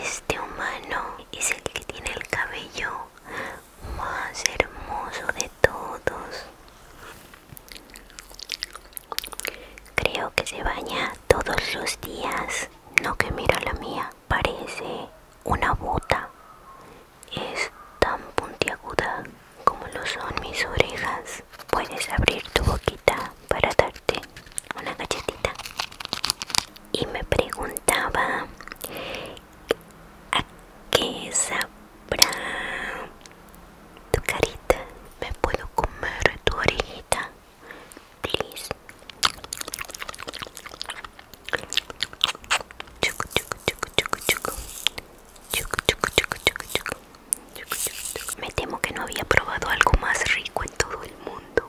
Este humano es el que tiene el cabello más hermoso de todos. Creo que se baña todos los días. No que mira la mía, parece una bota. Es tan puntiaguda como lo son mis orejas. Puedes abrir tu boquita para darte una galletita y me preguntaba a qué sabrá tu carita me puedo comer tu orejita please Me temo que no había probado algo más rico en todo el mundo.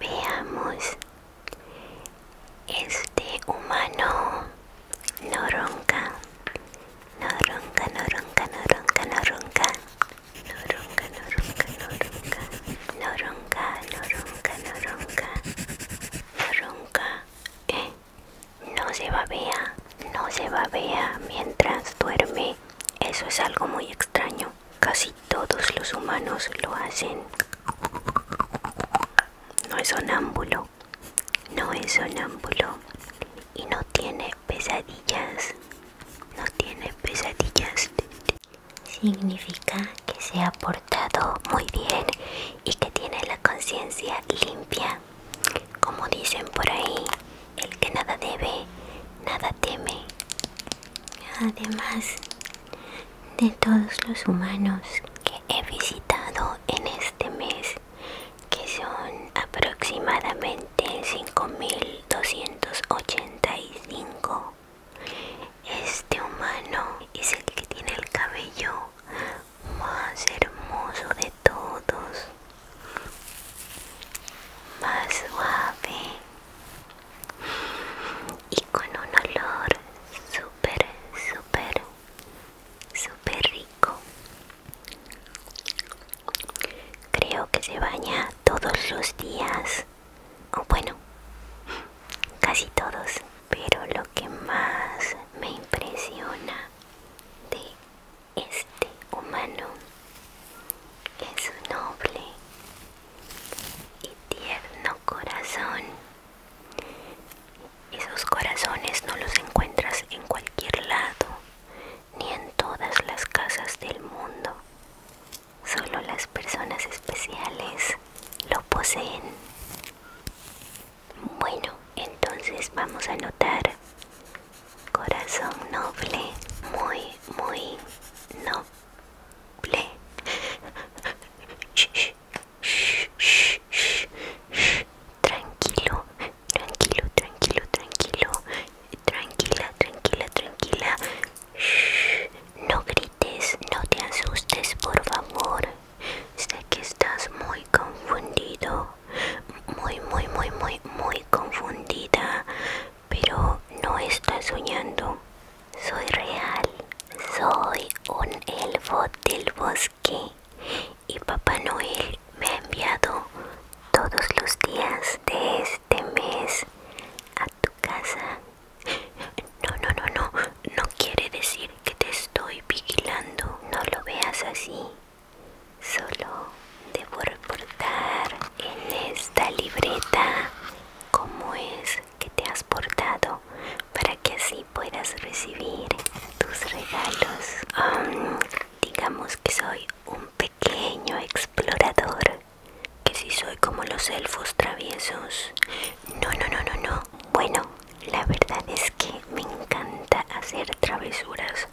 Veamos. Este humano no ronca. No ronca, no ronca, no ronca, no ronca ronca, no ronca, no noronca, no ronca, no no se babea, no se babea mientras duerme. Eso es algo muy extraño. Casi todos los humanos lo hacen. No es sonámbulo, no es sonámbulo y no tiene pesadillas no tiene pesadillas. Significa que se ha portado muy bien y que tiene la conciencia limpia. Como dicen por ahí, el que nada debe, nada teme. Además de todos los humanos que he visitado en este mes, que son aproximadamente 5.285. Este humano es el que tiene el cabello más hermoso de todos, más suave y con un olor súper, súper, súper rico. Creo que se baña todos los días. O bueno, casi todos. Pero lo que más me impresiona de este humano es su noble y tierno corazón. Esos corazones no los encuentras en cualquier lado ni en todas las casas del mundo. Solo las personas especiales lo poseen. Bueno, entonces vamos a anotar corazón noble, muy, muy noble. Tranquilo, tranquilo, tranquilo, tranquilo, tranquila, tranquila, tranquila. shhh, no grites, no te asustes, por favor. Sé que estás muy confundido, muy, muy, muy, muy, muy confundida, pero no estás soñando. Soy real, soy un elfo del bosque y Papá Noel me ha enviado todos los días de este mes a tu casa. No, no, no, no, no quiere decir que te estoy vigilando, no lo veas así. Solo debo reportar en esta libreta cómo es que te has portado para que así puedas recibir tus regalos. Digamos que soy un pequeño explorador. Que si soy como los elfos traviesos. No, no, no, no, no. Bueno, la verdad es que me encanta hacer travesuras.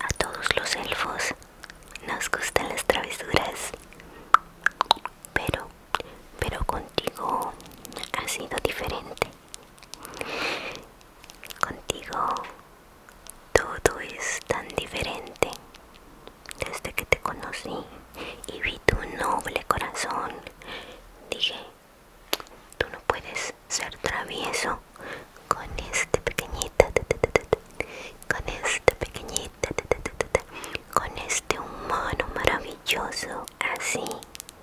A todos los elfos nos gustan las travesuras. Pero, pero contigo ha sido diferente. Contigo todo es tan diferente. Desde que te conocí y vi tu noble corazón, dije, tú no puedes ser travieso con este pequeñito con este pequeñito, con este humano maravilloso así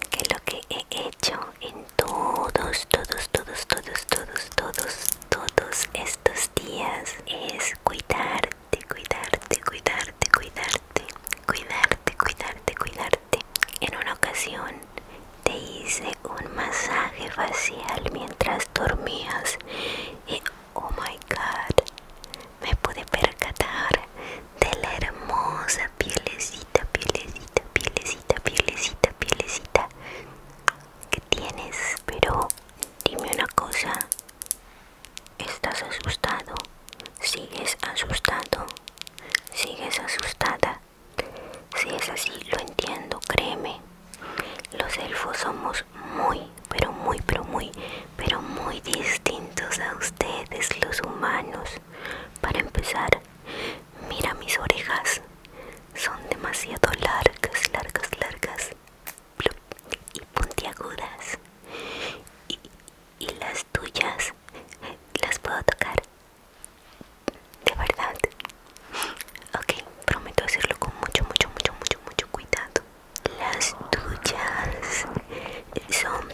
que lo que he hecho en todos, todos, todos, todos, todos, todos, todos estos días es cuidarte, cuidarte, cuidarte, cuidarte, cuidarte, cuidarte, cuidarte. En una ocasión te hice un masaje facial mientras dormías y oh my god, me pude percatar de la hermosa pielecita, pielecita, pielecita, pielecita, pielecita que tienes. Pero dime una cosa, ¿estás asustado? ¿Sigues asustado? ¿Sigues asustada? Si es así, lo entiendo, créeme. Los elfos somos muy, pero muy, pero muy, pero muy distintos a ustedes los humanos. Para empezar, Mira mis orejas, son demasiado largas, largas, largas y puntiagudas. Y, y las tuyas, las puedo tocar. De verdad. Ok, prometo hacerlo con mucho, mucho, mucho, mucho, mucho cuidado. Las tuyas son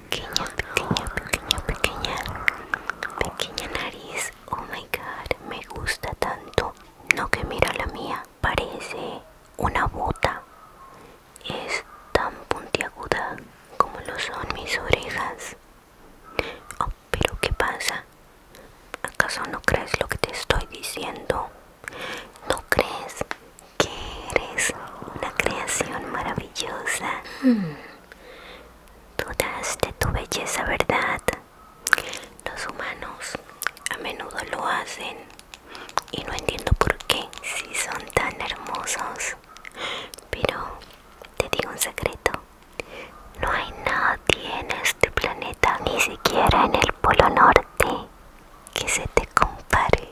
pequeña, pequeña, pequeña, pequeña, pequeña nariz. Oh my god, me gusta tanto. No que mira la mía, parece una bota. Es tan puntiaguda como lo son mis orejas. Oh, pero ¿qué pasa? ¿Acaso no crees lo que te estoy diciendo? ¿No crees? que eres una creación maravillosa. Hmm. Dudas de tu belleza, ¿verdad? Los humanos a menudo lo hacen y no entiendo por qué si son tan hermosos. Pero te digo un secreto. No hay nadie en este planeta, ni siquiera en el Polo Norte, que se te compare.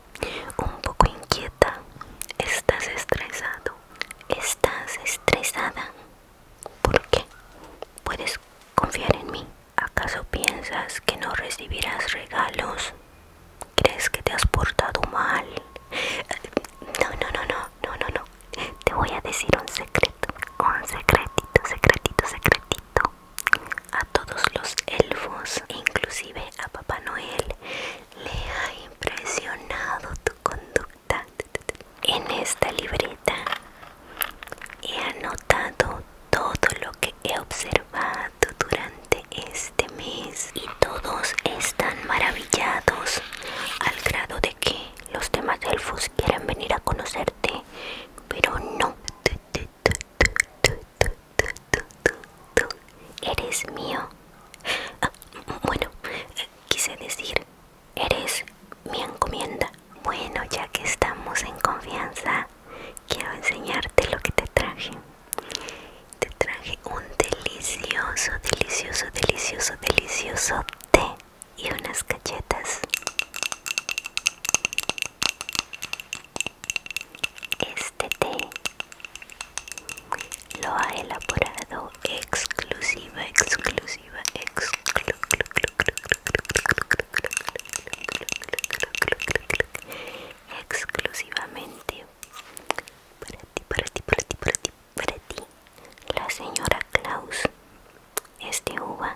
un poco inquieta, estás estresado, estás estresada. ¿Por qué? ¿Puedes confiar en mí? ¿Acaso piensas que no recibirás regalos? ¿Crees que te has portado mal? No, no, no, no, no, no, no. Te voy a decir un secreto, un secretito, secretito, secretito. A todos los elfos, inclusive a Papá Noel, le ha impresionado tu conducta. En esta libreta he anotado todo lo que he observado durante este mes y todos están maravillados al grado de que los demás elfos quieren venir a conocerte, pero no tú, tú, tú, tú, tú eres mío. Ah, bueno, quise decir, eres mi encomienda. Bueno, ya que estamos en confianza, quiero enseñarte lo que te traje. Te traje un delicioso, delicioso, delicioso, delicioso té y unas cachetas este té lo ha elaborado exclusiva, exclusiva, exclusivamente para ti, para ti, para ti, para ti, para ti, la señora Klaus este uva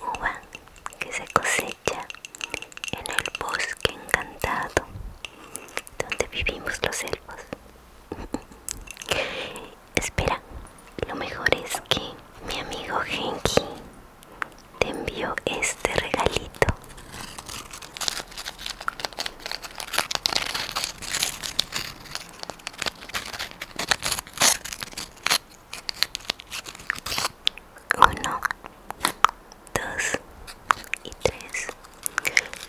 uva que se cosecha en el bosque encantado donde vivimos los elfos. Espera, lo mejor es que mi amigo Henki te envió este regalito. Uno, dos y tres.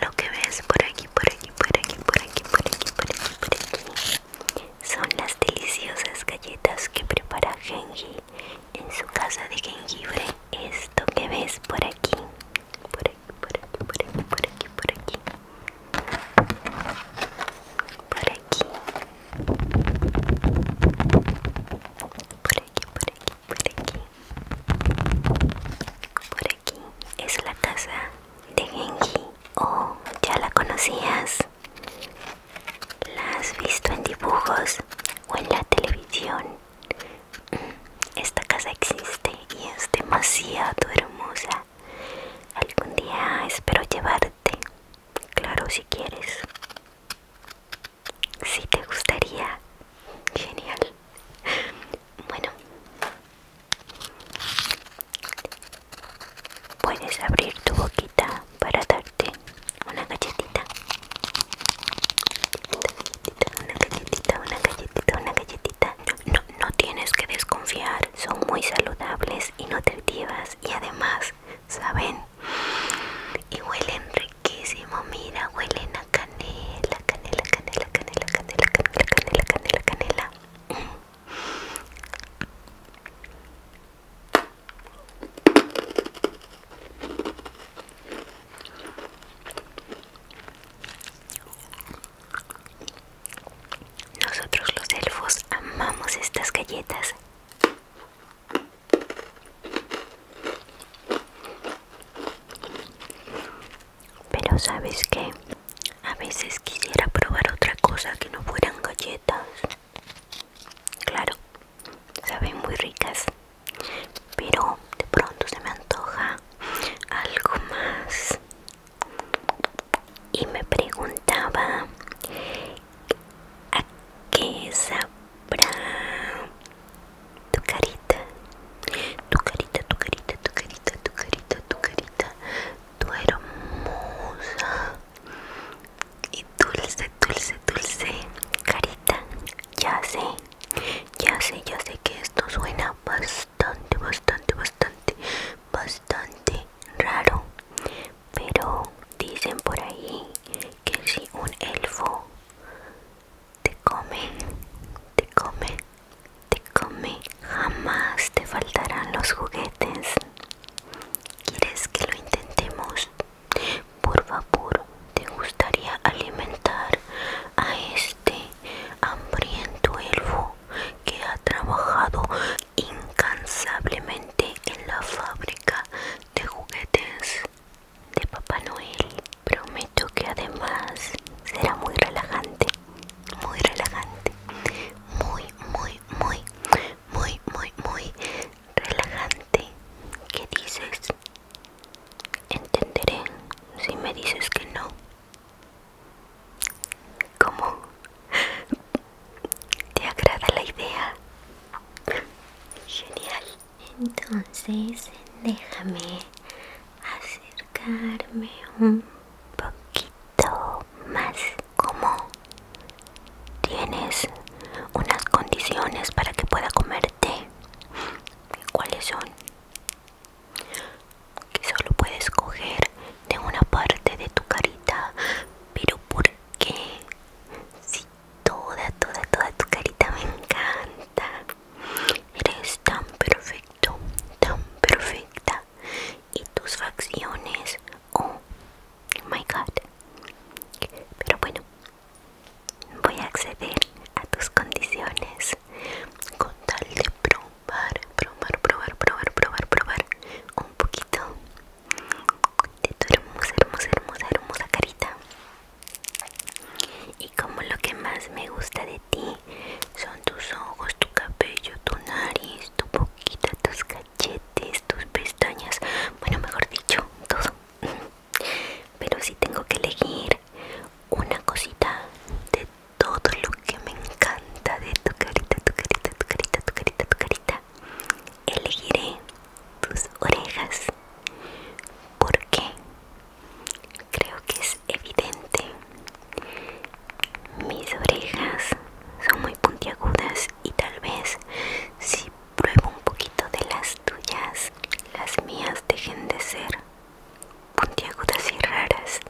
Lo que ves por aquí, por aquí, por aquí, por aquí, por aquí, por aquí, por aquí, son las deliciosas galletas que prepara Genji en su casa de jengibre. Esto que ves por aquí, por aquí, por aquí, por aquí, por aquí, por aquí, por aquí, por aquí, por aquí, por aquí, por aquí. Por aquí es la casa de Genji. Oh, ya la conocías. La has visto en dibujos o en la televisión. Mm, esta casa existe y es demasiado hermosa. Algún día espero llevarte Claro, si quieres. Si te gustaría. Genial. Bueno. Puedes abrir tu boquita para darte una galletita. Una galletita, una galletita, una galletita. No, no tienes que desconfiar. Son muy saludables, y nutritivas y además ¿saben? Y huelen riquísimo, mira, huelen a canela, canela, canela, canela, canela, canela, canela, canela, canela. Nosotros los elfos amamos estas galletas pero sabes que a veces quisiera probar otra cosa que no fueran galletas. Claro, saben muy ricas. Pero de pronto se me antoja algo más y me preguntaba a qué sabrá tu carita, tu carita, tu carita, tu carita, tu carita, tu carita, tu hermosa y dulce, dulce, dulce carita. Ya sé, ya sé, ya sé que esto suena bastante, bastante, bastante, bastante raro pero dicen por ahí que si un elfo te come te come te come jamás te faltarán los juguetes quieres que lo intentemos por favor te gustaría alimentar a este hambriento elfo que ha trabajado incansablemente en la fábrica de juguetes de Papá Noel. Prometo que además será muy relajante, muy relajante, muy, muy, muy, muy, muy, muy relajante. ¿Qué dices? Entenderé si me dices que no. ¿Cómo? ¿Te agrada la idea? Genial. Entonces, déjame acercarme un poquito más. ¿Cómo? ¿Tienes unas condiciones para que pueda comerte? ¿Cuáles son? que solo puedes coger de una parte de tu carita. Pero ¿por qué? Si toda, toda, toda tu carita me encanta. Eres tan perfecto, tan perfecta. Y tus facciones, oh my god. Pero bueno, voy a acceder a tus condiciones con tal de pronto probar, probar, probar, probar, probar, probar un poquito de tu hermosa, hermosa, hermosa, hermosa carita. Y como lo que más me gusta de ti son tus ojos, tu cabello, tu nariz, tu boquita, tus cachetes, tus pestañas, bueno, mejor dicho, todo. Pero si tengo que elegir una cosita de todo lo que me encanta de tu carita, tu carita, tu carita, tu carita, tu carita. Elegiré tus orejas. ¿Por qué? Creo que es evidente. Mis orejas son muy puntiagudas y tal vez si pruebo un poquito de las tuyas, las mías dejen de ser puntiagudas y raras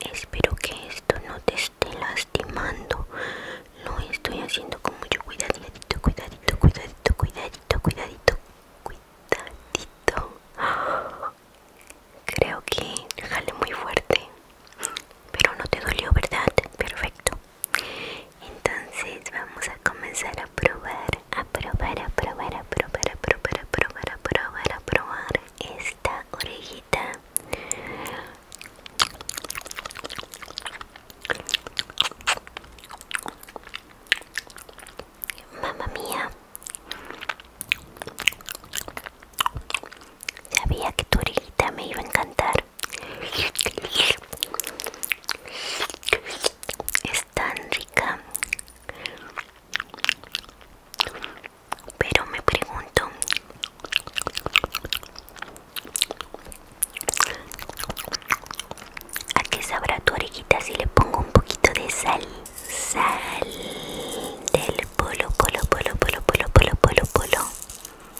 Espero que esto no te esté lastimando. Lo estoy haciendo con mucho cuidadito, cuidadito, cuidadito, cuidadito, cuidadito, cuidadito. Creo que jale muy fuerte. Pero no te dolió, ¿verdad? Perfecto. Entonces vamos a comenzar a probar, a probar, a probar, a probar, a probar, a probar, a probar, a probar esta orejita mamá mía sabía que tu orejita me iba a encantar es tan rica pero me pregunto, ¿a qué sabrá tu orejita si le pongo un poquito de sal? Sal del polo, polo, polo, polo, polo, polo, polo, polo.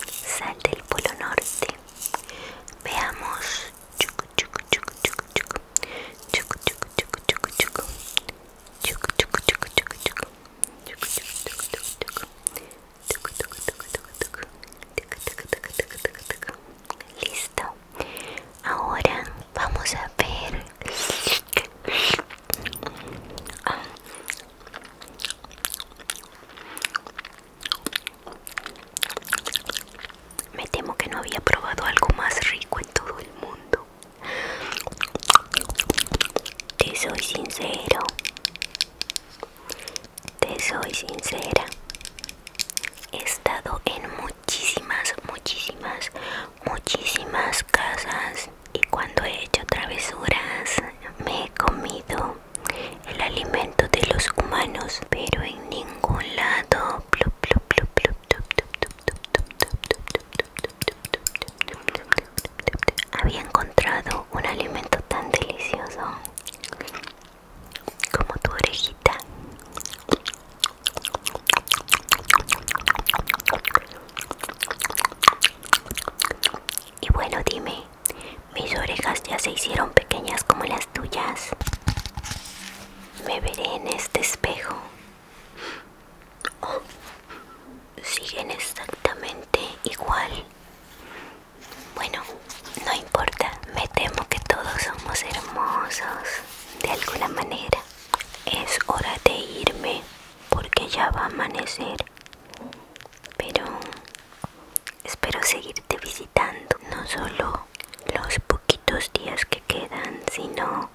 Sal del polo norte. Veamos. Listo. Ahora vamos a ver. Me temo que no había probado algo más rico en todo el mundo. Te soy sincero. Te soy sincera. He estado en muchísimas, muchísimas, muchísimas casas y cuando he hecho travesuras me he comido el alimento de los humanos, pero en ningún lado. Había encontrado un alimento tan delicioso como tu orejita. Y bueno, dime, mis orejas ya se hicieron pequeñas como las tuyas. Me veré en este espejo siguen exactamente igual. Bueno, no importa, me temo que todos somos hermosos de alguna manera. Es hora de irme porque ya va a amanecer. Pero espero seguirte visitando, no solo los poquitos días que quedan, sino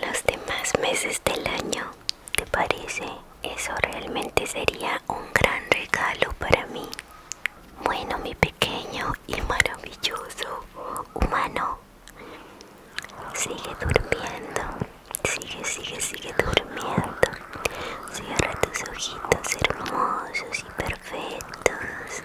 los demás meses del año. ¿Te parece? Eso realmente sería un gran regalo para mí. Bueno, mi pequeño y maravilloso humano. Sigue durmiendo. Sigue, sigue, sigue durmiendo. Cierra tus ojitos hermosos y perfectos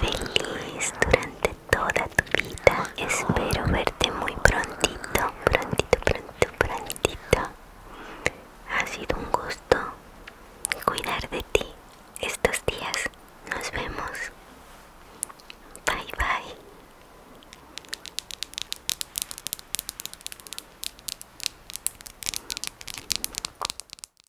feliz durante toda tu vida. Espero verte muy prontito, prontito, prontito, prontito. Ha sido un gusto cuidar de ti estos días. Nos vemos. Bye bye.